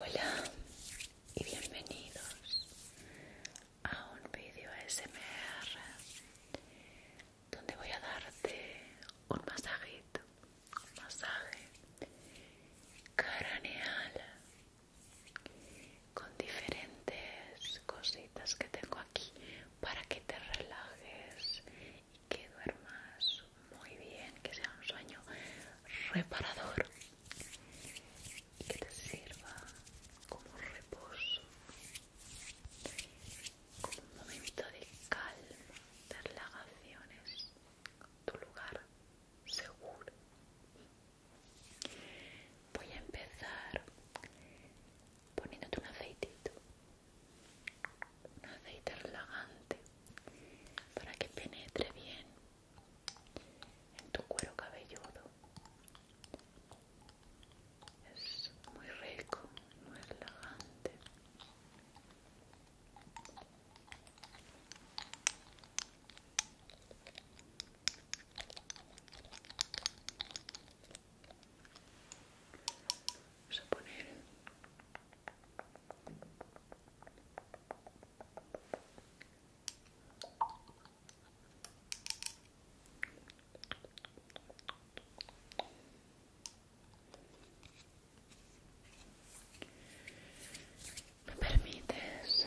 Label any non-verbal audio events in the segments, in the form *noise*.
Hola y bienvenidos a un vídeo ASMR donde voy a darte un masajito, un masaje craneal con diferentes cositas que tengo aquí para que te relajes y que duermas muy bien, que sea un sueño reparador que te sirva como reposo, como un momento de calma, de relajaciones, tu lugar seguro. Voy a empezar poniéndote un aceitito, un aceite relajante para que penetre bien en tu cuero cabelludo. Es muy rico, muy relajante. Vamos a poner me permites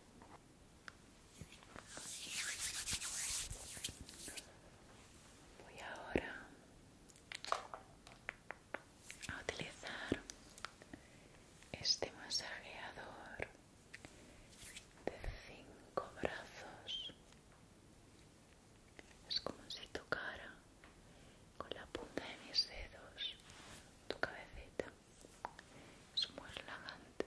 Voy ahora a utilizar este masajeador de cinco brazos. Es como si tocara con la punta de mis dedos tu cabecita es muy relajante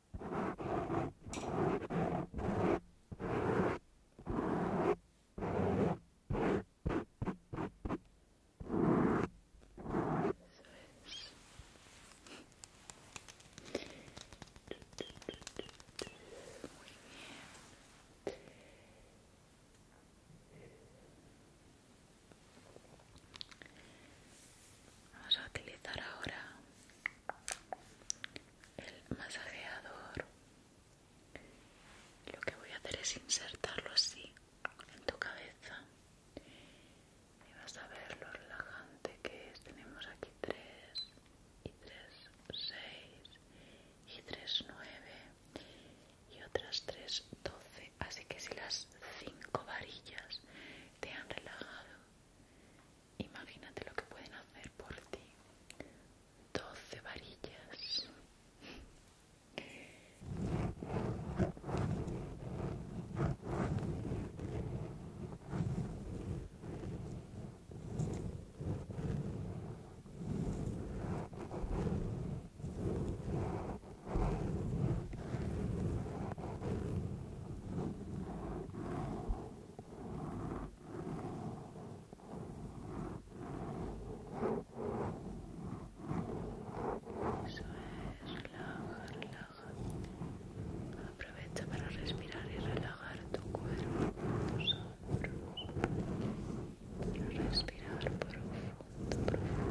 Vamos a utilizar ahora el masajeador lo que voy a hacer es insertarlo así en tu cabeza y vas a ver lo relajante que es tenemos aquí 3 y 3 6 y 3 9 y otras 3 12 así que si las 5 varillas te han relajado Imagínate lo que pueden hacer por ti. Doce varillas. Eso es, relaja, relaja. Aprovecha para respirar y relajar tu cuerpo, Respira Respirar profundo, profundo.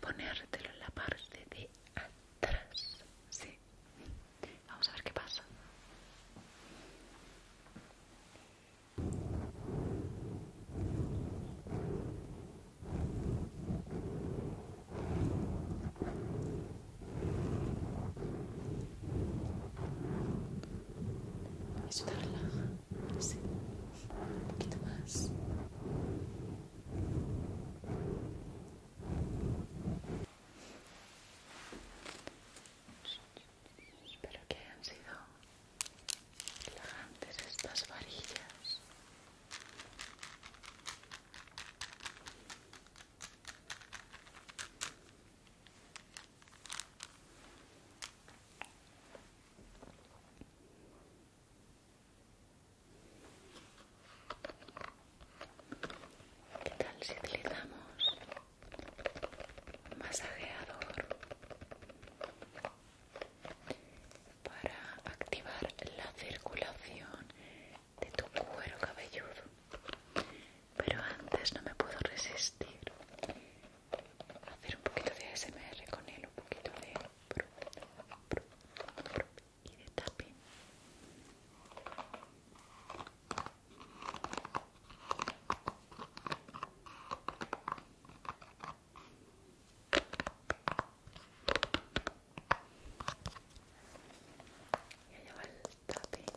ponértelo en la parte de atrás. Sí. Vamos a ver qué pasa. Eso Sí, un poquito más. Espero que hayan sido relajantes estas varillas. ¿Qué tal si utilizamos un masajeador para activar la circulación de tu cuero cabelludo? Pero antes no me puedo resistir hacer un poquito de smr con él, un poquito de... y de tapping. Y allá va el tapping.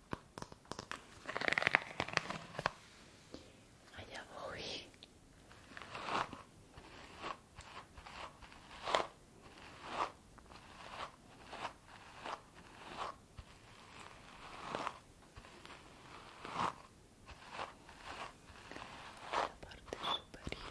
Allá voy. La parte superior.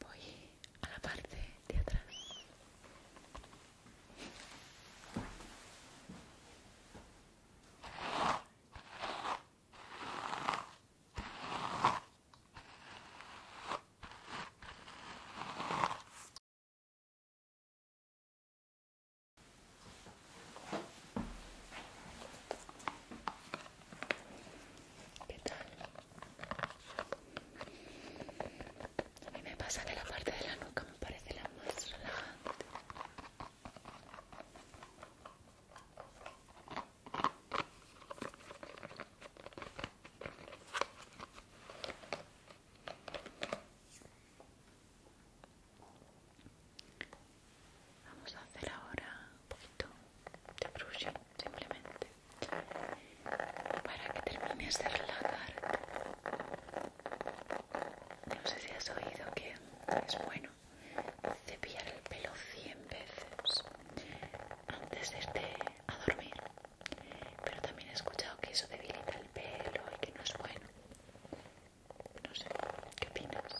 Voy a la parte de atrás. ¿Qué tal? A mí me pasa que la parte de la nuca me parece la más relajante. Vamos a hacer ahora un poquito de brushing simplemente para que termines de relajar No sé si has oído que es bueno cepillar el pelo 100 veces antes de este a dormir pero también he escuchado que eso debilita el pelo y que no es bueno no sé qué opinas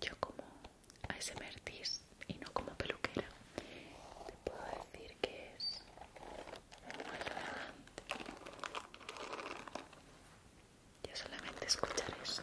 yo como a ese ASMR y no como peluquera te puedo decir que es muy yo solamente escuchar esto.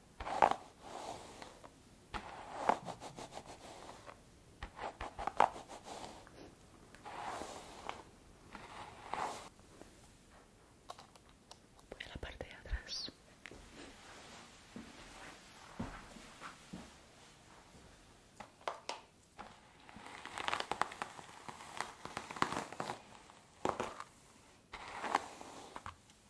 Voy a la parte de atrás.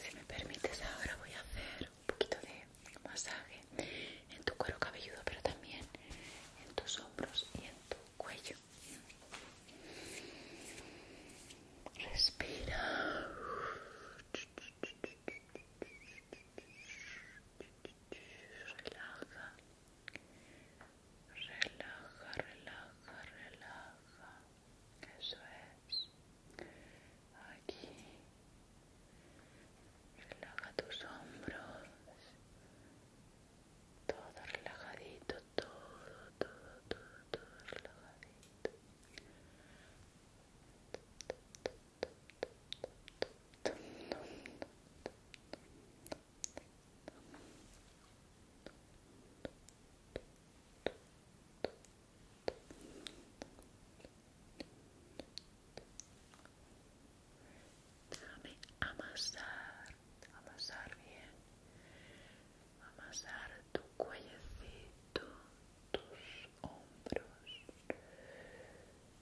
Si me permites ahora voy a hacer un poquito de masaje en tu cuero cabelludo, pero también en tus hombros y en tu cuello. Respira. Relaja relaja, relaja, relaja, eso es, aquí, relaja tus hombros, todo relajadito, todo, todo, todo, todo relajadito. Déjame amasar, amasar bien, amasar tu cuellecito, tus hombros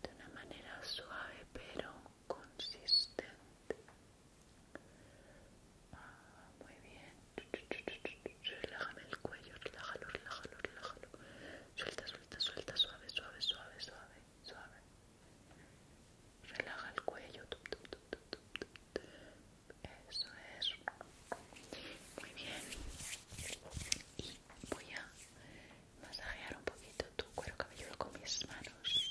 de una manera suave pero consistente. Ah, muy bien. Relájame el cuello, relájalo, relájalo, relájalo. Suelta, suelta, suelta, suave, suave, suave, suave, suave. Relaja el cuello. Eso es. Muy bien. Y voy a masajear un poquito tu cuero cabelludo con mis manos.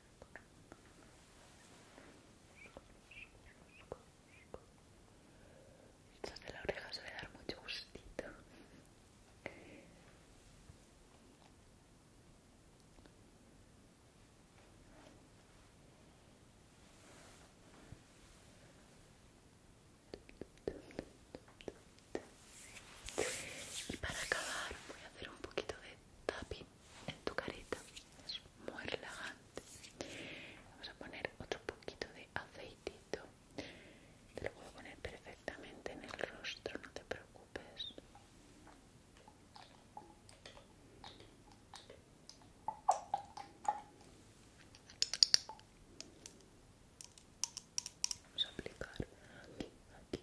Esto de la oreja suele dar mucho gustito. Y para acabar voy a hacer un poquito de tapping en tu carita es muy relajante vamos a poner otro poquito de aceitito te lo a poner perfectamente en el rostro no te preocupes Vamos a aplicar aquí, aquí,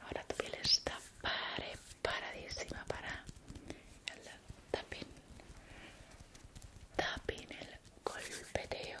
Ahora tu piel está pare, paradísima para el tapin tapping el golpeteo.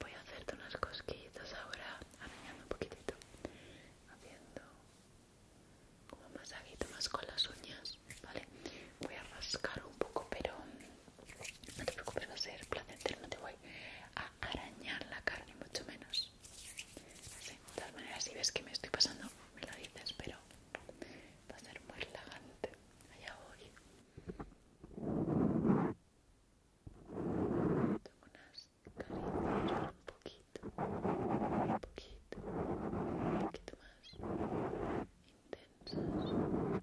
Voy a hacerte unas cosquillas ahora, arañando un poquitito, haciendo como masajito más con las uñas, ¿vale? Voy a rascar un poco, pero no te preocupes, va a ser placentero, no te voy a arañar la carne, mucho menos. de todas maneras, si ves que me estoy pasando, me lo dices, pero va a ser muy relajante. Allá voy. Tengo unas caricias un poquito, un poquito, un poquito más intensas que lo normal.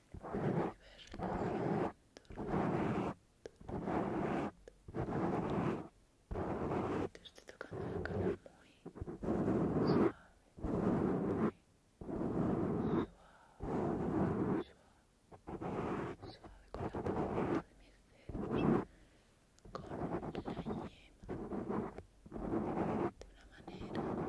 Te estoy tocando la muy suave, suave, con la de mis con la yema, de una manera delicada.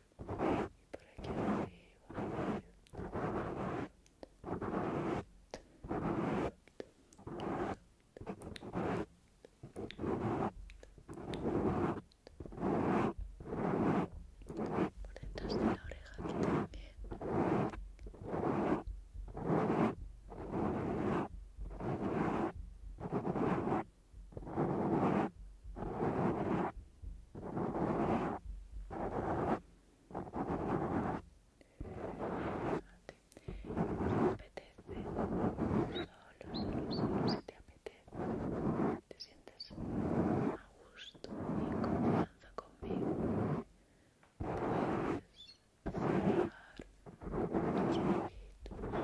y por aquí arriba por detrás de la oreja aquí también te apetece solo, solo, solo si te apetece te sientes a gusto y confianza conmigo puedes cerrar tus ojitos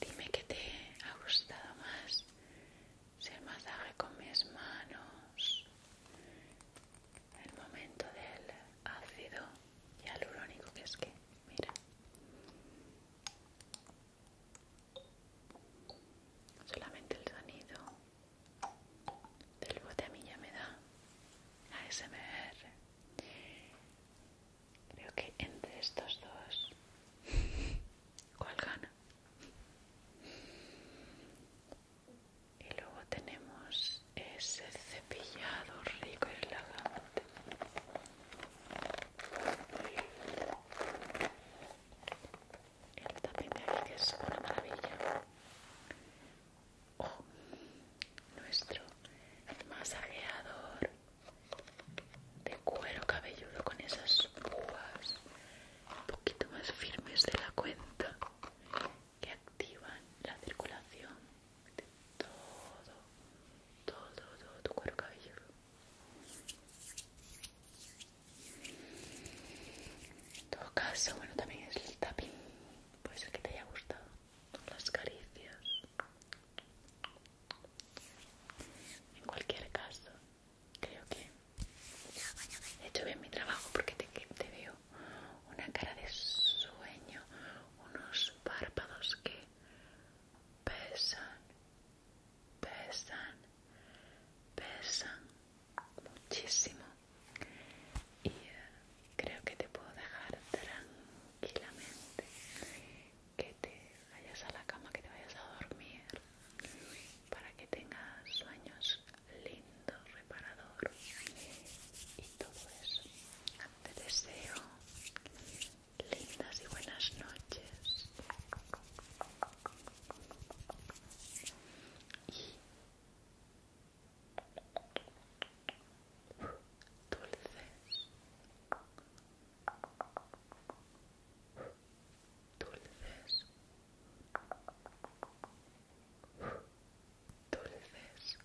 Dime que te ha gustado más si el masaje con mis manos, el momento del ácido hialurónico, que es que, mira, solamente el sonido del bote a mí ya me da ASMR Creo que entre estos dos, *laughs* ¿cuál gana? Y luego tenemos ese cepillado rico y relajante. El tapete aquí que es una maravilla. Oh nuestro masajeador de cuero cabelludo con esas púas un poquito más firmes de la cuenta que activan la circulación de todo, todo, todo tu cuero cabelludo. En todo caso, bueno, también es el tapping, puede ser que te haya gustado las caricias en cualquier caso, creo que he hecho bien mi trabajo porque te, te veo una cara de sueño, unos párpados que pesan, pesan, pesan muchísimo. Y eh, creo que te puedo dejar tranquilamente que te vayas a la cama, que te vayas a dormir para que tengas sueños lindos, reparadores y todo eso. Te deseo lindas y buenas noches dulces, dulces, dulces, dulces. sueños